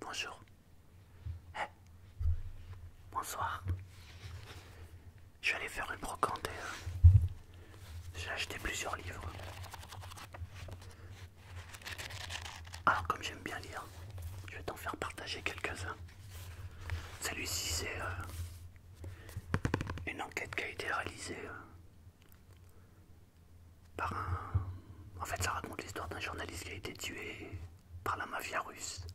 bonjour. bonsoir. Je suis allé faire une brocante j'ai acheté plusieurs livres. Alors comme j'aime bien lire, je vais t'en faire partager quelques-uns. Celui-ci c'est euh, une enquête qui a été réalisée euh, par un... En fait, ça raconte l'histoire d'un journaliste qui a été tué par la mafia russe.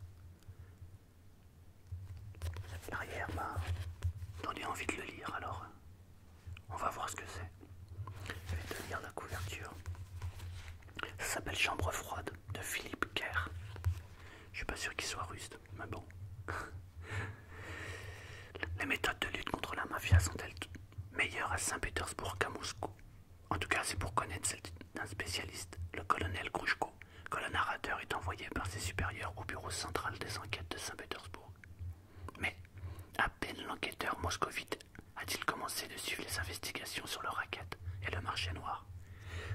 L'arrière m'a bah, donné envie de le lire, alors on va voir ce que c'est. Je vais te lire la couverture. Ça s'appelle Chambre froide de Philippe Kerr. Je suis pas sûr qu'il soit russe mais bon. Les méthodes de lutte contre la mafia sont-elles meilleures à Saint-Pétersbourg qu'à Moscou En tout cas, c'est pour connaître celle d'un spécialiste, le colonel Kouchko, que le narrateur est envoyé par ses supérieurs au bureau central des enquêtes de Saint-Pétersbourg. Mais, à peine l'enquêteur moscovite a-t-il commencé de suivre les investigations sur le racket et le marché noir,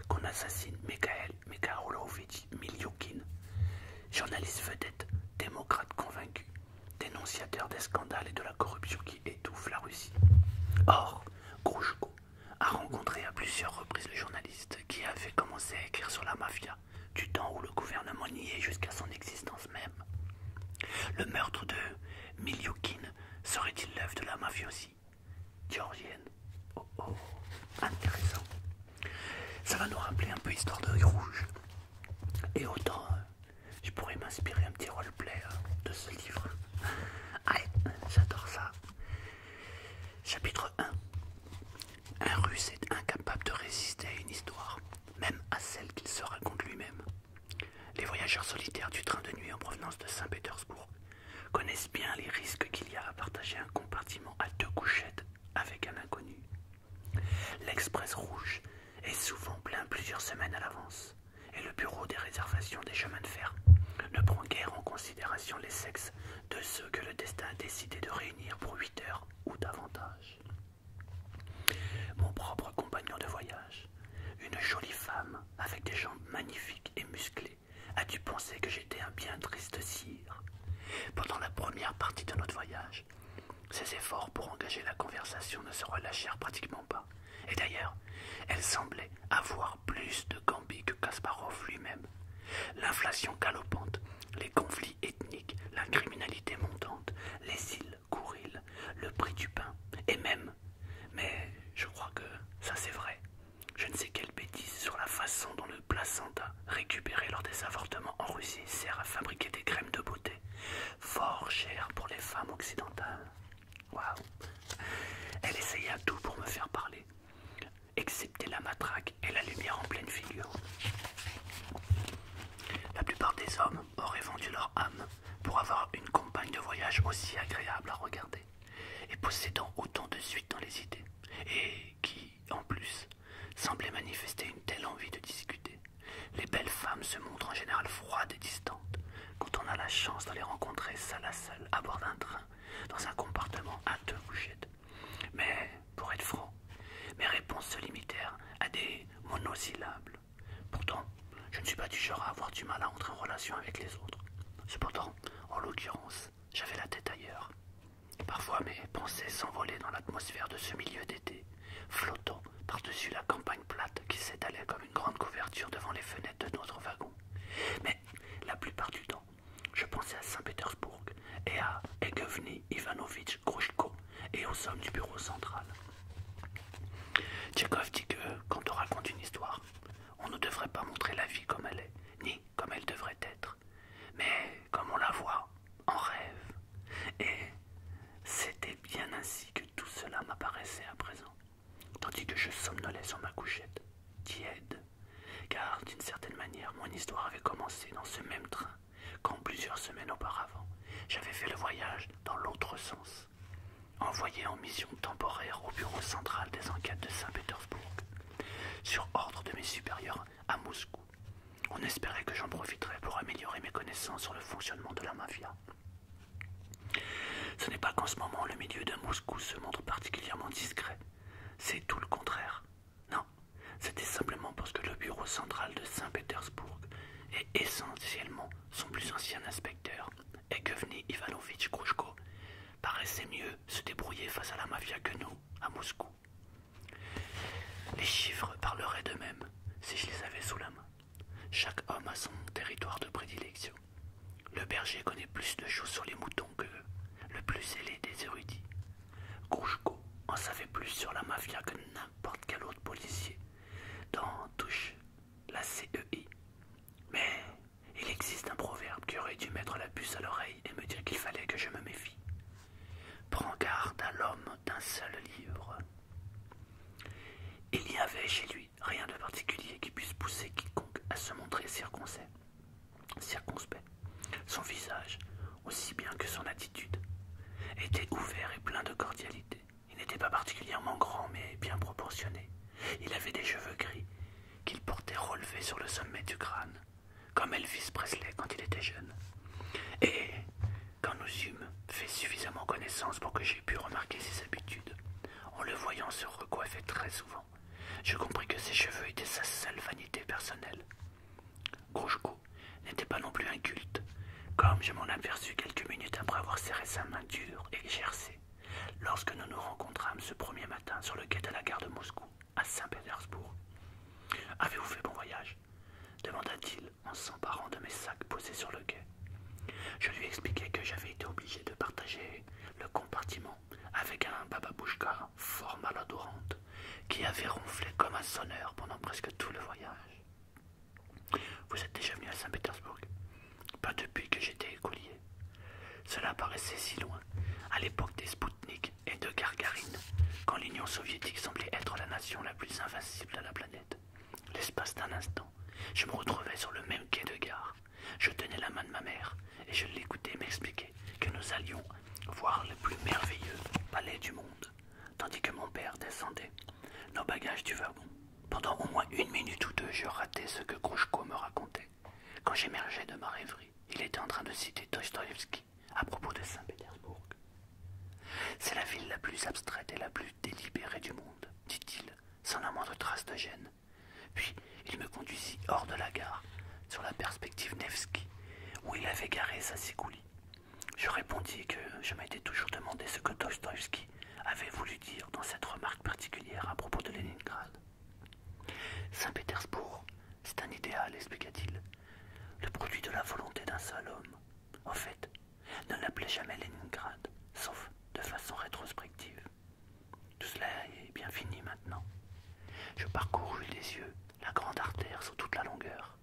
qu'on assassine Mikhail Mikaelovich. Milioukine, journaliste vedette, démocrate convaincu, dénonciateur des scandales et de la corruption qui étouffe la Russie. Or, Grouchko a rencontré à plusieurs reprises le journaliste qui avait commencé à écrire sur la mafia, du temps où le gouvernement niait jusqu'à son existence même. Le meurtre de Milioukine serait-il l'œuvre de la mafia aussi Georgiev Oh oh, intéressant. Ça va nous rappeler un peu l'histoire de Rouge. Et autant, euh, je pourrais m'inspirer un petit roleplay euh, de ce livre. Aïe, ah j'adore ça. Chapitre 1. Un russe est incapable de résister à une histoire, même à celle qu'il se raconte lui-même. Les voyageurs solitaires du train de nuit en provenance de Saint-Pétersbourg connaissent bien les risques qu'il y a à partager un compartiment à deux couchettes avec un inconnu. L'express rouge est souvent plein plusieurs semaines à l'avance et le bureau des réservations des chemins de fer ne prend guère en considération les sexes de ceux que le destin a décidé de réunir pour 8 heures ou davantage. Mon propre compagnon de voyage, une jolie femme avec des jambes magnifiques et musclées, As-tu pensé que j'étais un bien triste sire Pendant la première partie de notre voyage, ses efforts pour engager la conversation ne se relâchèrent pratiquement pas. Et d'ailleurs, elle semblait avoir plus de Gambie que Kasparov lui-même. L'inflation galopante, les conflits ethniques, la criminalité montante, les îles Kouril, le prix du pain, et même, mais je crois que ça c'est vrai, je ne sais quelle bêtise sur la façon dont le placenta, récupéré lors des avortements en Russie, sert à fabriquer des crèmes de beauté, fort chères pour les femmes occidentales. Waouh Elle essaya tout pour me faire parler, excepté la matraque et la lumière en pleine figure. La plupart des hommes auraient vendu leur âme pour avoir une compagne de voyage aussi agréable à regarder, et possédant autant de suite dans les idées, et qui en plus, semblait manifester une telle envie de discuter. Les belles femmes se montrent en général froides et distantes quand on a la chance d'aller rencontrer salle à seule à bord d'un train, dans un compartiment à deux bouchettes. Mais, pour être franc, mes réponses se limitèrent à des monosyllabes. Pourtant, je ne suis pas du genre à avoir du mal à entrer en relation avec les autres. Cependant, en l'occurrence, j'avais la tête ailleurs. Parfois mes pensées s'envolaient dans l'atmosphère de ce milieu d'été, flottant par-dessus la campagne plate qui s'étalait comme une grande couverture devant les fenêtres de notre wagon. Mais la plupart du temps, je pensais à Saint-Pétersbourg et à Egevny Ivanovitch Grushko et aux hommes du bureau central. Tchekov dit que, quand on raconte une histoire, on ne devrait pas montrer la vie comme elle est, ni comme elle devrait être, mais comme on la voit en rêve. Et c'était bien ainsi que tout cela m'apparaissait à présent, tandis que je somnolais sur ma couchette, tiède, car d'une certaine manière mon histoire avait commencé dans ce même train quand plusieurs semaines auparavant j'avais fait le voyage dans l'autre sens, envoyé en mission temporaire au bureau central des enquêtes de Saint-Pétersbourg, sur ordre de mes supérieurs à Moscou. On espérait que j'en profiterais pour améliorer mes connaissances sur le fonctionnement de la mafia. Ce n'est pas qu'en ce moment le milieu de Moscou se montre particulièrement discret. C'est tout le contraire. Non, c'était simplement parce que le bureau central de Saint-Pétersbourg est essentiellement son plus ancien inspecteur, Vny Ivanovitch Krouchko, paraissait mieux se débrouiller face à la mafia que nous, à Moscou. Les chiffres parleraient d'eux-mêmes si je les avais sous la main. Chaque homme a son territoire de prédilection. Le berger connaît plus de choses sur les moutons que le plus zélé des érudits. Grouchko en savait plus sur la mafia que n'importe quel autre policier dans Touche, la CEI. Mais il existe un proverbe qui aurait dû mettre la puce à l'oreille et me dire qu'il fallait que je me méfie. Prends garde à l'homme d'un seul livre. Il n'y avait chez lui rien de particulier qui puisse pousser quiconque à se montrer circonspect. circonspect. Son visage, aussi bien que son attitude, était ouvert et plein de cordialité. Il n'était pas particulièrement grand, mais bien proportionné. Il avait des cheveux gris qu'il portait relevés sur le sommet du crâne comme Elvis Presley quand il était jeune. Et quand nous eûmes fait suffisamment connaissance pour que j'aie pu remarquer ses habitudes, en le voyant se recoiffer très souvent, je compris que ses cheveux étaient sa seule vanité personnelle. Grouchko n'était pas non plus inculte, comme je m'en aperçus quelques minutes après avoir serré sa main dure et gercée, lorsque nous nous rencontrâmes ce premier matin sur le quai de la gare de Moscou à Saint-Pétersbourg. Avez-vous fait bon voyage demanda-t-il en s'emparant de mes sacs posés sur le quai. Je lui expliquai que j'avais été obligé de partager le compartiment avec un bababouchka fort malodorante qui avait ronflé comme un sonneur pendant presque tout le voyage. Vous êtes déjà venu à Saint-Pétersbourg Pas depuis que j'étais écolier. Cela paraissait si loin, à l'époque des Spoutniks et de Gargarine, quand l'Union soviétique semblait être la nation la plus invincible de la planète. L'espace d'un instant, je me retrouvais sur le même quai de gare. Je tenais la main de ma mère et je l'écoutais m'expliquer que nous allions voir le plus merveilleux palais du monde, tandis que mon père descendait nos bagages du wagon. Pendant au moins une minute ou deux, je ratais ce que Krouchko me racontait. Quand j'émergeais de ma rêverie, il était en train de citer Tostoyevsky à propos de Saint-Pétersbourg. C'est la ville la plus abstraite et la plus délibérée du monde, dit-il, sans la moindre trace de gêne. Puis il me conduisit hors de la gare, sur la perspective Nevski, où il avait garé sa sécoulie. Je répondis que je m'étais toujours demandé ce que Dostoïevski avait voulu dire dans cette remarque particulière à propos de Leningrad. Saint-Pétersbourg c'est un idéal, expliqua-t-il. Le produit de la volonté d'un seul homme. En fait, ne l'appelait jamais Leningrad, sauf de façon rétrospective. Tout cela est bien fini maintenant. Je parcourus les yeux la grande artère sur toute la longueur.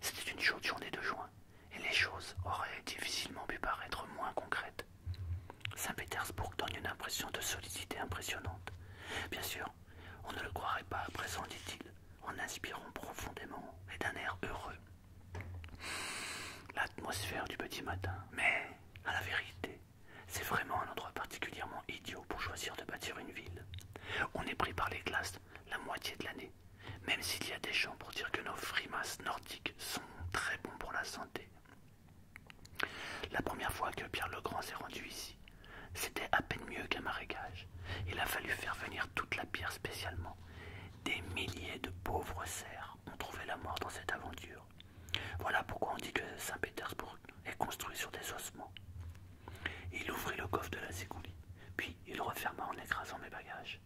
C'était une chaude journée de juin, et les choses auraient difficilement pu paraître moins concrètes. Saint-Pétersbourg donne une impression de solidité impressionnante. Bien sûr, on ne le croirait pas à présent, dit-il, en inspirant profondément et d'un air heureux. L'atmosphère du petit matin. Mais, à la vérité, c'est vraiment un endroit particulièrement idiot pour choisir de bâtir une ville. On est pris par les glaces la moitié de l'année, même s'il y a des gens pour dire que nos frimas nordiques sont très bons pour la santé. La première fois que Pierre le Grand s'est rendu ici, c'était à peine mieux qu'un marécage. Il a fallu faire venir toute la pierre spécialement. Des milliers de pauvres serfs ont trouvé la mort dans cette aventure. Voilà pourquoi on dit que Saint-Pétersbourg est construit sur des ossements. Il ouvrit le coffre de la Zégouli, puis il referma en écrasant mes bagages,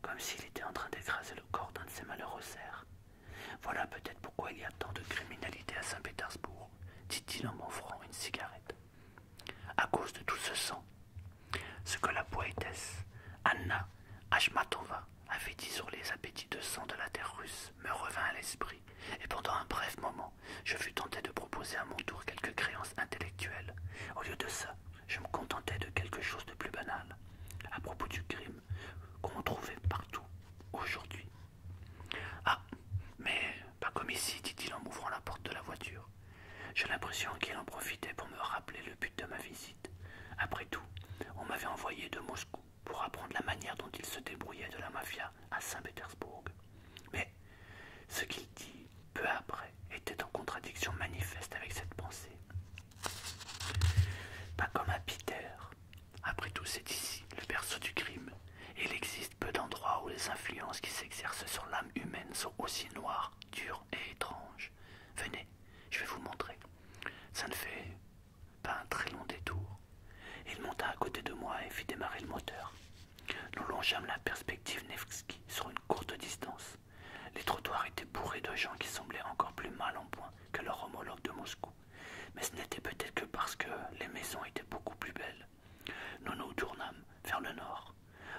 comme s'il était en train d'écraser le corps d'un de ses malheureux cerfs. Voilà peut-être pourquoi il y a tant de criminalité à Saint-Pétersbourg dit-il en m'offrant une cigarette. À cause de tout ce sang, ce que la poétesse Anna Ashmatova avait dit sur les appétits de sang de la terre russe me revint à l'esprit, et pendant un bref moment, je fus tenté de proposer à mon tour quelques créances intellectuelles. Au lieu de ça, je me contentais de quelque chose de plus banal, à propos du crime qu'on trouvait partout aujourd'hui ah, mais pas comme ici, dit-il en m'ouvrant la porte de la voiture. J'ai l'impression qu'il en profitait pour me rappeler le but de ma visite. Après tout, on m'avait envoyé de Moscou pour apprendre la manière dont il se débrouillait de la mafia à Saint-Pétersbourg. Mais ce qu'il dit peu après était en contradiction manifeste avec cette pensée. Pas comme à Peter. Après tout, c'est ici le berceau du crime, Il existe. » peu d'endroits où les influences qui s'exercent sur l'âme humaine sont aussi noires, dures et étranges. Venez, je vais vous montrer. Ça ne fait pas un très long détour. Il monta à côté de moi et fit démarrer le moteur. Nous longeâmes la perspective Nevski sur une courte distance. Les trottoirs étaient bourrés de gens qui semblaient encore plus mal en point que leur homologue de Moscou. Mais ce n'était peut-être que parce que les maisons étaient beaucoup plus belles. Nous nous tournâmes vers le nord,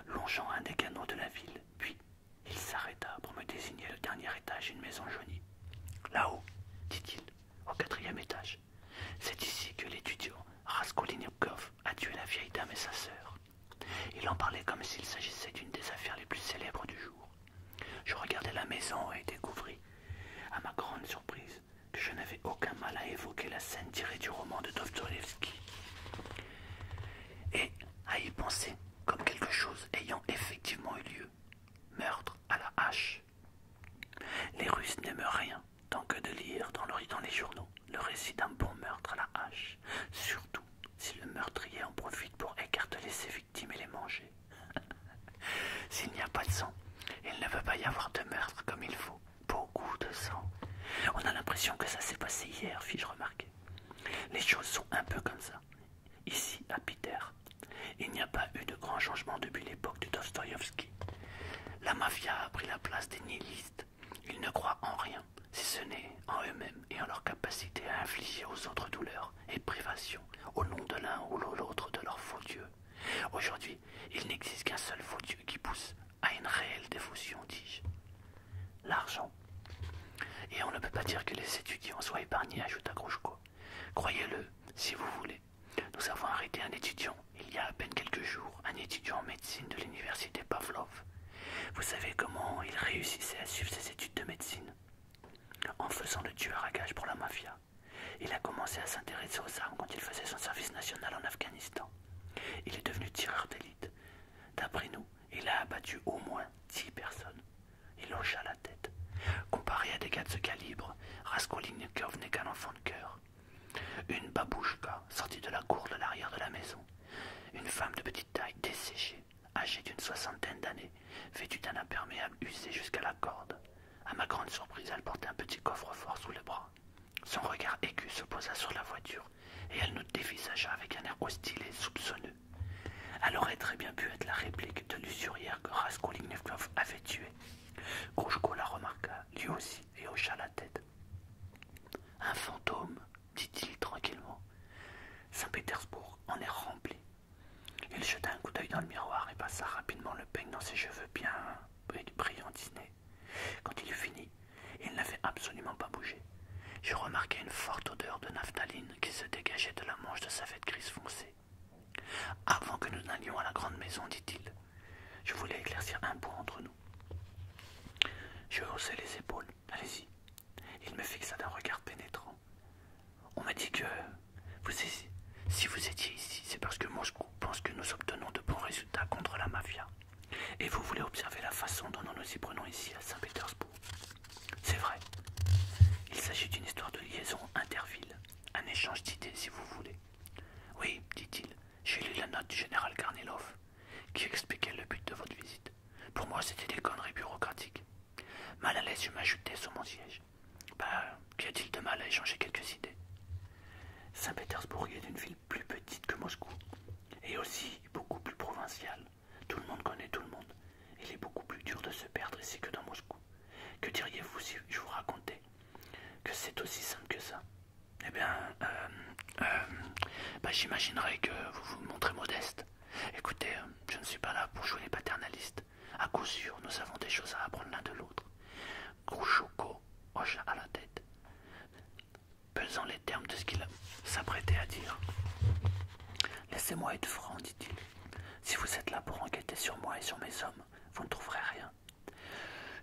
longeant un des canaux de la ville, puis il s'arrêta pour me désigner le dernier étage d'une maison jaunie. Là-haut, dit-il, au quatrième étage. C'est ici que l'étudiant Raskolnikov a tué la vieille dame et sa sœur. Il en parlait comme s'il s'agissait d'une des affaires les plus célèbres du jour. Je regardai la maison et découvris, à ma grande surprise, que je n'avais aucun mal à évoquer la scène tirée du roman de Dostoevsky et à y penser comme quelque chose ayant effectivement eu lieu. Meurtre à la hache. Les Russes n'aiment rien tant que de lire dans, dans les journaux le récit d'un bon meurtre à la hache, surtout si le meurtrier en profite pour écarteler ses victimes et les manger. S'il n'y a pas de sang, il ne peut pas y avoir de meurtre comme il faut. Beaucoup de sang. On a l'impression que ça s'est passé hier, fis-je remarquer. Les choses sont un peu comme ça. Ici, à Peter, il n'y a pas eu de grand changement depuis l'époque de Dostoïevski. La mafia a pris la place des nihilistes. Ils ne croient en rien, si ce n'est en eux-mêmes et en leur capacité à infliger aux autres douleurs et privations au nom de l'un ou l'autre de leurs faux dieux. Aujourd'hui, il n'existe qu'un seul faux qui pousse à une réelle dévotion, dis-je. L'argent. Et on ne peut pas dire que les étudiants soient épargnés, ajouta Grouchko. Croyez-le, si vous voulez. Nous avons arrêté un étudiant, il y a à peine quelques jours, un étudiant en médecine de l'université Pavlov. Vous savez comment il réussissait à suivre ses études de médecine En faisant le tueur à gages pour la mafia. Il a commencé à s'intéresser aux armes quand il faisait son service national en Afghanistan. Il est devenu tireur d'élite. D'après nous, il a abattu au moins dix personnes. Il hocha la tête. Comparé à des gars de ce calibre, Raskolnikov n'est qu'un enfant de cœur. Une babouchka sortit de la cour de l'arrière de la maison. Une femme de petite taille, desséchée, âgée d'une soixantaine d'années, vêtue d'un imperméable usé jusqu'à la corde. À ma grande surprise, elle portait un petit coffre-fort sous le bras. Son regard aigu se posa sur la voiture, et elle nous dévisagea avec un air hostile et soupçonneux. Elle aurait très bien pu être la réplique de l'usurière que Raskolnikov avait tuée. Kouchko la remarqua, lui aussi, et hocha la tête. Un fantôme, dit-il tranquillement. Saint-Pétersbourg en est rempli. Il jeta un coup d'œil dans le miroir et passa rapidement le peigne dans ses cheveux bien brillant Quand il eut fini, il n'avait absolument pas bougé. Je remarquai une forte odeur de naphtaline qui se dégageait de la manche de sa veste grise foncée. Avant que nous n'allions à la grande maison, dit-il, je voulais éclaircir un point entre nous. Je haussai les épaules. Allez-y. Il me fixa d'un regard pénétrant. On m'a dit que vous, si vous étiez ici, c'est parce que moi pense que nous obtenons de bons résultats contre la mafia. Et vous voulez observer la façon dont nous nous y prenons ici à Saint-Pétersbourg. C'est vrai. Il s'agit d'une histoire de liaison interville, un échange d'idées si vous voulez. Oui, dit-il, j'ai lu la note du général Karnilov, qui expliquait le but de votre visite. Pour moi, c'était des conneries bureaucratiques. Mal à l'aise, je m'ajoutais sur mon siège. Bah, qu'y a-t-il de mal à échanger quelques idées Saint-Pétersbourg est une ville plus petite que Moscou, et aussi beaucoup plus provinciale. Tout le monde connaît tout le monde. Il est beaucoup plus dur de se perdre ici que dans Moscou. Que diriez-vous si je vous racontais que c'est aussi simple que ça Eh bien, euh, euh, bah, j'imaginerais que vous vous montrez modeste. Écoutez, je ne suis pas là pour jouer les paternalistes. À coup sûr, nous avons des choses à apprendre l'un de l'autre. Kouchouko hocha à la tête, pesant les termes de ce qu'il s'apprêtait à dire. Laissez-moi être franc, dit-il. Si vous êtes là pour enquêter sur moi et sur mes hommes, vous ne trouverez rien.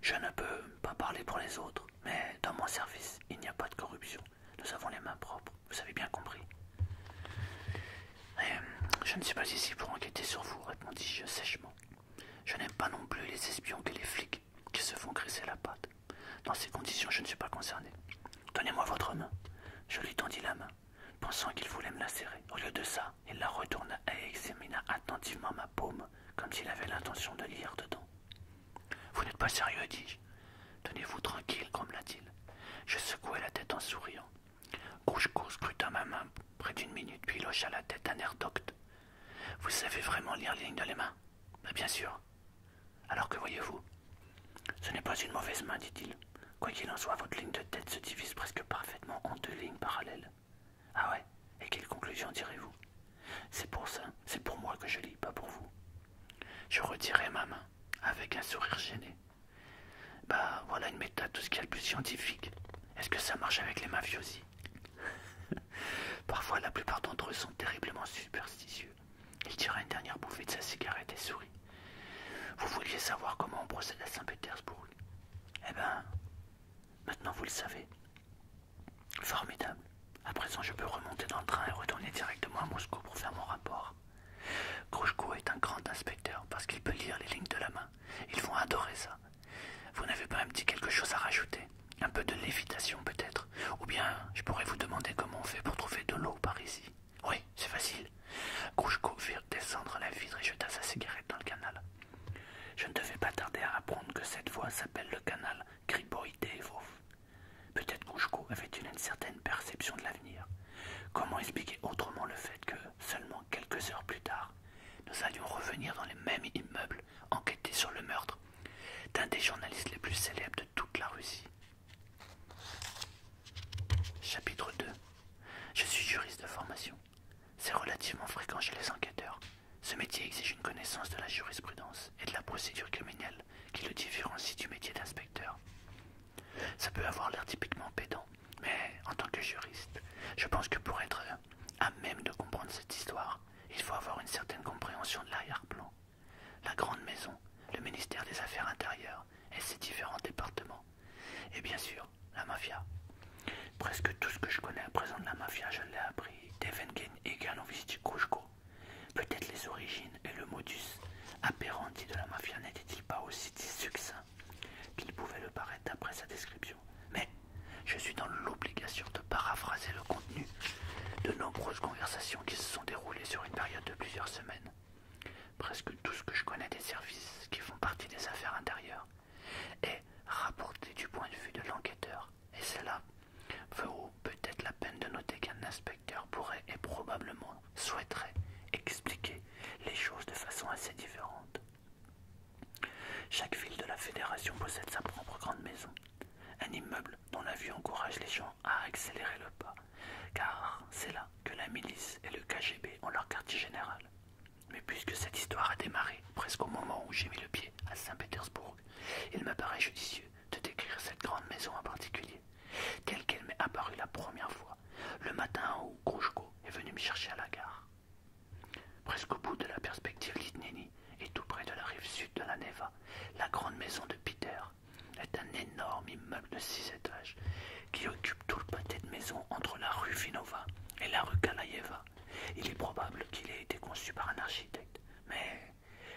Je ne peux pas parler pour les autres, mais dans mon service, il n'y a pas de corruption. Nous avons les mains propres, vous avez bien compris. je ne suis pas ici pour enquêter sur vous, répondis-je sèchement. Je n'aime pas non plus les espions que les flics qui se font graisser la patte. Dans ces conditions, je ne suis pas concerné. Donnez-moi votre main. Je lui tendis la main, pensant qu'il voulait me la serrer. Au lieu de ça, il la retourna et examina attentivement ma paume, comme s'il avait l'intention de lire dedans. Vous n'êtes pas sérieux, dis-je. Tenez-vous tranquille, grommela-t-il. Je secouai la tête en souriant crut à ma main près d'une minute, puis loche à la tête d'un air docte. Vous savez vraiment lire les lignes de les mains ben, Bien sûr. Alors que voyez-vous Ce n'est pas une mauvaise main, dit-il. Quoi qu'il en soit, votre ligne de tête se divise presque parfaitement en deux lignes parallèles. Ah ouais Et quelle conclusion direz-vous C'est pour ça, c'est pour moi que je lis, pas pour vous. Je retirai ma main, avec un sourire gêné. Bah voilà une méthode, tout ce qu'il y a de plus scientifique. Est-ce que ça marche avec les mafiosi Parfois, la plupart d'entre eux sont terriblement superstitieux. Il tira une dernière bouffée de sa cigarette et sourit. Vous vouliez savoir comment on procède à Saint-Pétersbourg Eh bien, maintenant vous le savez. Formidable. À présent, je peux remonter dans le train et retourner directement à Moscou pour faire mon rapport. Grouchko est un grand inspecteur parce qu'il peut lire les lignes de la main. Ils vont adorer ça. Vous n'avez pas un petit quelque chose à rajouter Un peu de lévitation peut-être Ou bien je pourrais vous demander comment on fait pour trouver de l'eau par ici Oui, c'est facile. Kouchko fit descendre la vitre et jeta sa cigarette dans le canal. Je ne devais pas tarder à apprendre que cette voie s'appelle le canal Kriboïdevov. Peut-être Kouchko avait-il une certaine perception de l'avenir. Comment expliquer autrement le fait que, seulement quelques heures plus tard, nous allions revenir dans les mêmes immeubles, enquêter sur le meurtre d'un des journalistes les plus célèbres de toute la Russie. Chapitre 2 Je suis juriste de formation. C'est relativement fréquent chez les enquêteurs. Ce métier exige une connaissance de la jurisprudence et de la procédure criminelle qui le différencie du métier d'inspecteur. Ça peut avoir l'air typiquement pédant, mais en tant que juriste, je pense que pour être à même de comprendre cette histoire, il faut avoir une certaine compréhension de l'arrière-plan. La Grande Maison, le ministère des Affaires intérieures et ses différents départements. Et bien sûr, la mafia. Presque tout ce que je connais à présent de la mafia, je l'ai appris d'Evengen et visite Peut-être les origines et le modus apparenti de la mafia n'étaient-ils pas aussi succincts qu'il pouvait le paraître d'après sa description. Mais je suis dans l'obligation de paraphraser le contenu de nombreuses conversations qui se sont déroulées sur une période de plusieurs semaines. Presque tout ce que je connais des services qui font partie des affaires intérieures est rapporté du point de vue de l'enquêteur. Et cela vaut peut-être la peine de noter qu'un inspecteur pourrait et probablement souhaiterait expliquer les choses de façon assez différente. Chaque ville de la fédération possède sa propre grande maison, un immeuble dont la vue encourage les gens à accélérer le pas, car c'est là que la milice et le KGB ont leur quartier général. Mais puisque cette histoire a démarré presque au moment où j'ai mis le pied à Saint-Pétersbourg, il m'apparaît judicieux de décrire cette grande maison en particulier, telle qu'elle m'est apparue la première fois, le matin où Krouchko est venu me chercher à la gare. Presque au bout de la perspective Litnéni et tout près de la rive sud de la Neva, la grande maison de Peter est un énorme immeuble de six étages qui occupe tout le pâté de maison entre la rue Vinova et la rue Kalayeva. Il est probable qu'il ait été conçu par un architecte, mais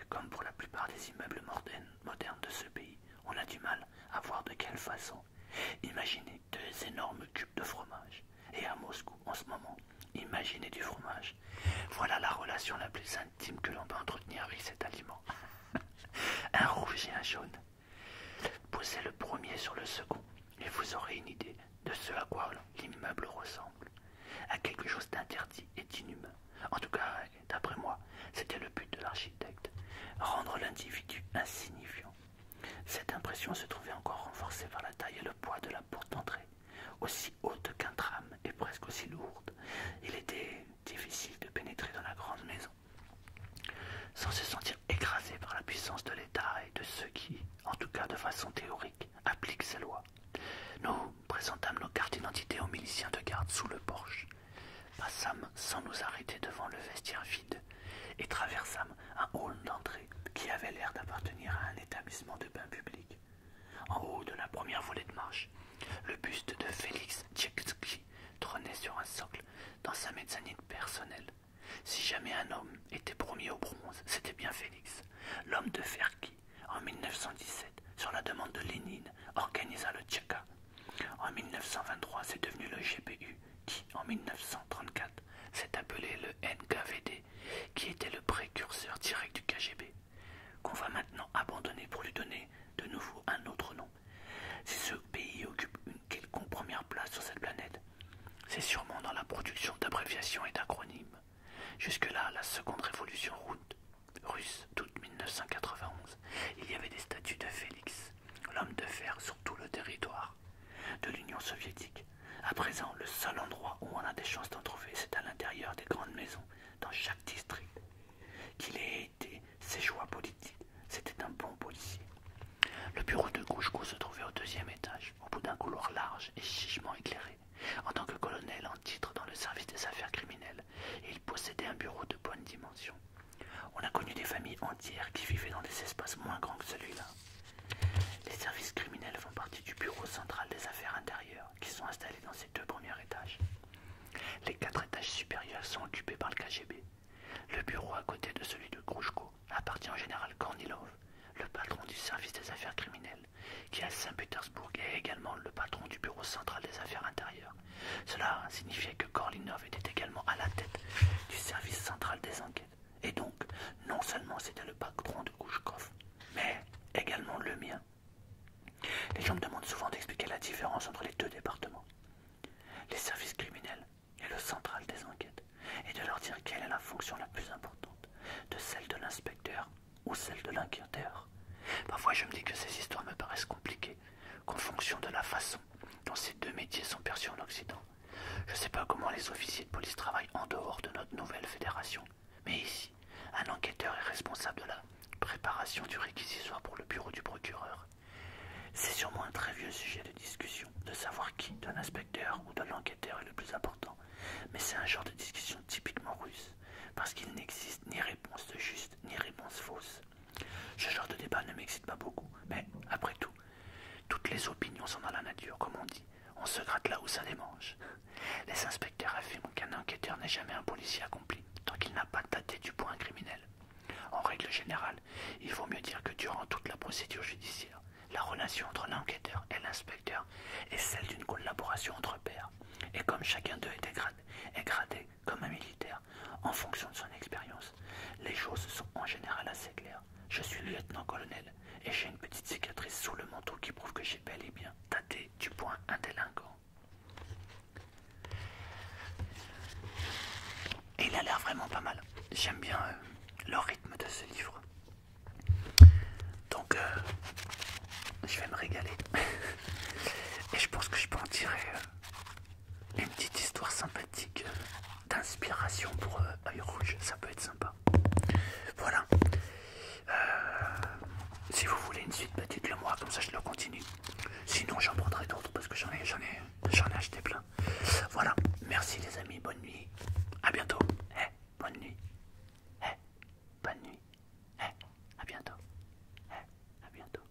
comme pour la plupart des immeubles modernes de ce pays, on a du mal à voir de quelle façon. Imaginez deux énormes cubes de fromage. Et à Moscou, en ce moment, imaginez du fromage. Voilà la relation la plus intime que l'on peut entretenir avec cet aliment. un rouge et un jaune. Posez le premier sur le second et vous aurez une idée de ce à quoi l'immeuble ressemble. À quelque chose d'interdit et d'inhumain. En tout cas, d'après moi, c'était le but de l'architecte. Rendre l'individu insignifiant cette impression se trouvait encore renforcée par la taille et le poids de la porte d'entrée, aussi haute qu'un tram et presque aussi lourde. Il était difficile de pénétrer dans la grande maison sans se sentir écrasé par la puissance de l'État et de ceux qui, en tout cas de façon théorique, appliquent ces lois. Nous présentâmes nos cartes d'identité aux miliciens de garde sous le porche. Passâmes sans nous arrêter devant le vestiaire vide et traversâmes un hall d'entrée qui avait l'air d'appartenir à un établissement de bains public. En haut de la première volée de marche, le buste de Félix Tchekski trônait sur un socle dans sa mezzanine personnelle. Si jamais un homme était promis au bronze, c'était bien Félix, l'homme de fer qui, en 1917, sur la demande de Lénine, organisa le Tcheka. En 1923, c'est devenu le GPU qui en 1934 s'est appelé le NKVD, qui était le précurseur direct du KGB, qu'on va maintenant abandonner pour lui donner de nouveau un autre nom. Si ce pays occupe une quelconque première place sur cette planète, c'est sûrement dans la production d'abréviations et d'acronymes. Jusque-là, la seconde révolution russe d'août 1991, il y avait des statues de Félix, l'homme de fer sur tout le territoire de l'Union soviétique, à présent, le seul endroit où on a des chances d'en trouver, c'est à l'intérieur des grandes maisons, dans chaque district. Qu'il ait été ses choix politiques, c'était un bon policier. Le bureau de Gouchkou se trouvait au deuxième étage, au bout d'un couloir large et chichement éclairé. En tant que colonel en titre dans le service des affaires criminelles, il possédait un bureau de bonne dimension. On a connu des familles entières qui vivaient dans des espaces moins grands que celui-là. Les services criminels font partie du bureau central des affaires intérieures qui sont installés dans ces deux premiers étages. Les quatre étages supérieurs sont occupés par le KGB. Le bureau à côté de celui de Krouchko appartient au général Kornilov, le patron du service des affaires criminelles, qui à Saint-Pétersbourg est également le patron du bureau central des affaires intérieures. Cela signifiait que Kornilov était également à la tête du service central des enquêtes. Et donc, non seulement c'était le patron de Kouchkov, mais également le mien. Les gens me demandent souvent d'expliquer la différence entre les deux départements, les services criminels et le central des enquêtes, et de leur dire quelle est la fonction la plus importante de celle de l'inspecteur ou celle de l'inquiéteur. Parfois je me dis que ces histoires me paraissent compliquées, qu'en fonction de la façon dont ces deux métiers sont perçus en Occident, je ne sais pas comment les officiers de police travaillent en dehors de notre nouvelle fédération, mais ici, un enquêteur est responsable de la préparation du réquisitoire pour le bureau du procureur. C'est sûrement un très vieux sujet de discussion, de savoir qui, d'un l'inspecteur ou de l'enquêteur, est le plus important, mais c'est un genre de discussion typiquement russe, parce qu'il n'existe ni réponse juste ni réponse fausse. Ce genre de débat ne m'excite pas beaucoup, mais après tout, toutes les opinions sont dans la nature, comme on dit on se gratte là où ça démange. Les inspecteurs affirment qu'un enquêteur n'est jamais un policier accompli tant qu'il n'a pas tâté du point criminel. En règle générale, il vaut mieux dire que durant toute la procédure judiciaire, la relation entre l'enquêteur et l'inspecteur est celle d'une collaboration entre pairs. Et comme chacun d'eux est gradé comme un militaire en fonction de son expérience, les choses sont en général assez claires je suis lieutenant-colonel et j'ai une petite cicatrice sous le manteau qui prouve que j'ai bel et bien tâté du point indélinguant. il a l'air vraiment pas mal. J'aime bien euh, le rythme de ce livre. Donc, euh, je vais me régaler. et je pense que je peux en tirer euh, une petite histoire sympathique d'inspiration pour Aïe Rouge. Ça peut être sympa. Voilà. Euh, si vous voulez une suite, bah, dites-le moi, comme ça je le continue. Sinon, j'en prendrai d'autres parce que j'en ai, j'en ai, j'en ai acheté plein. Voilà. Merci les amis. Bonne nuit. À bientôt. Eh, bonne nuit. Eh, bonne nuit. Eh, à bientôt. Eh, à bientôt.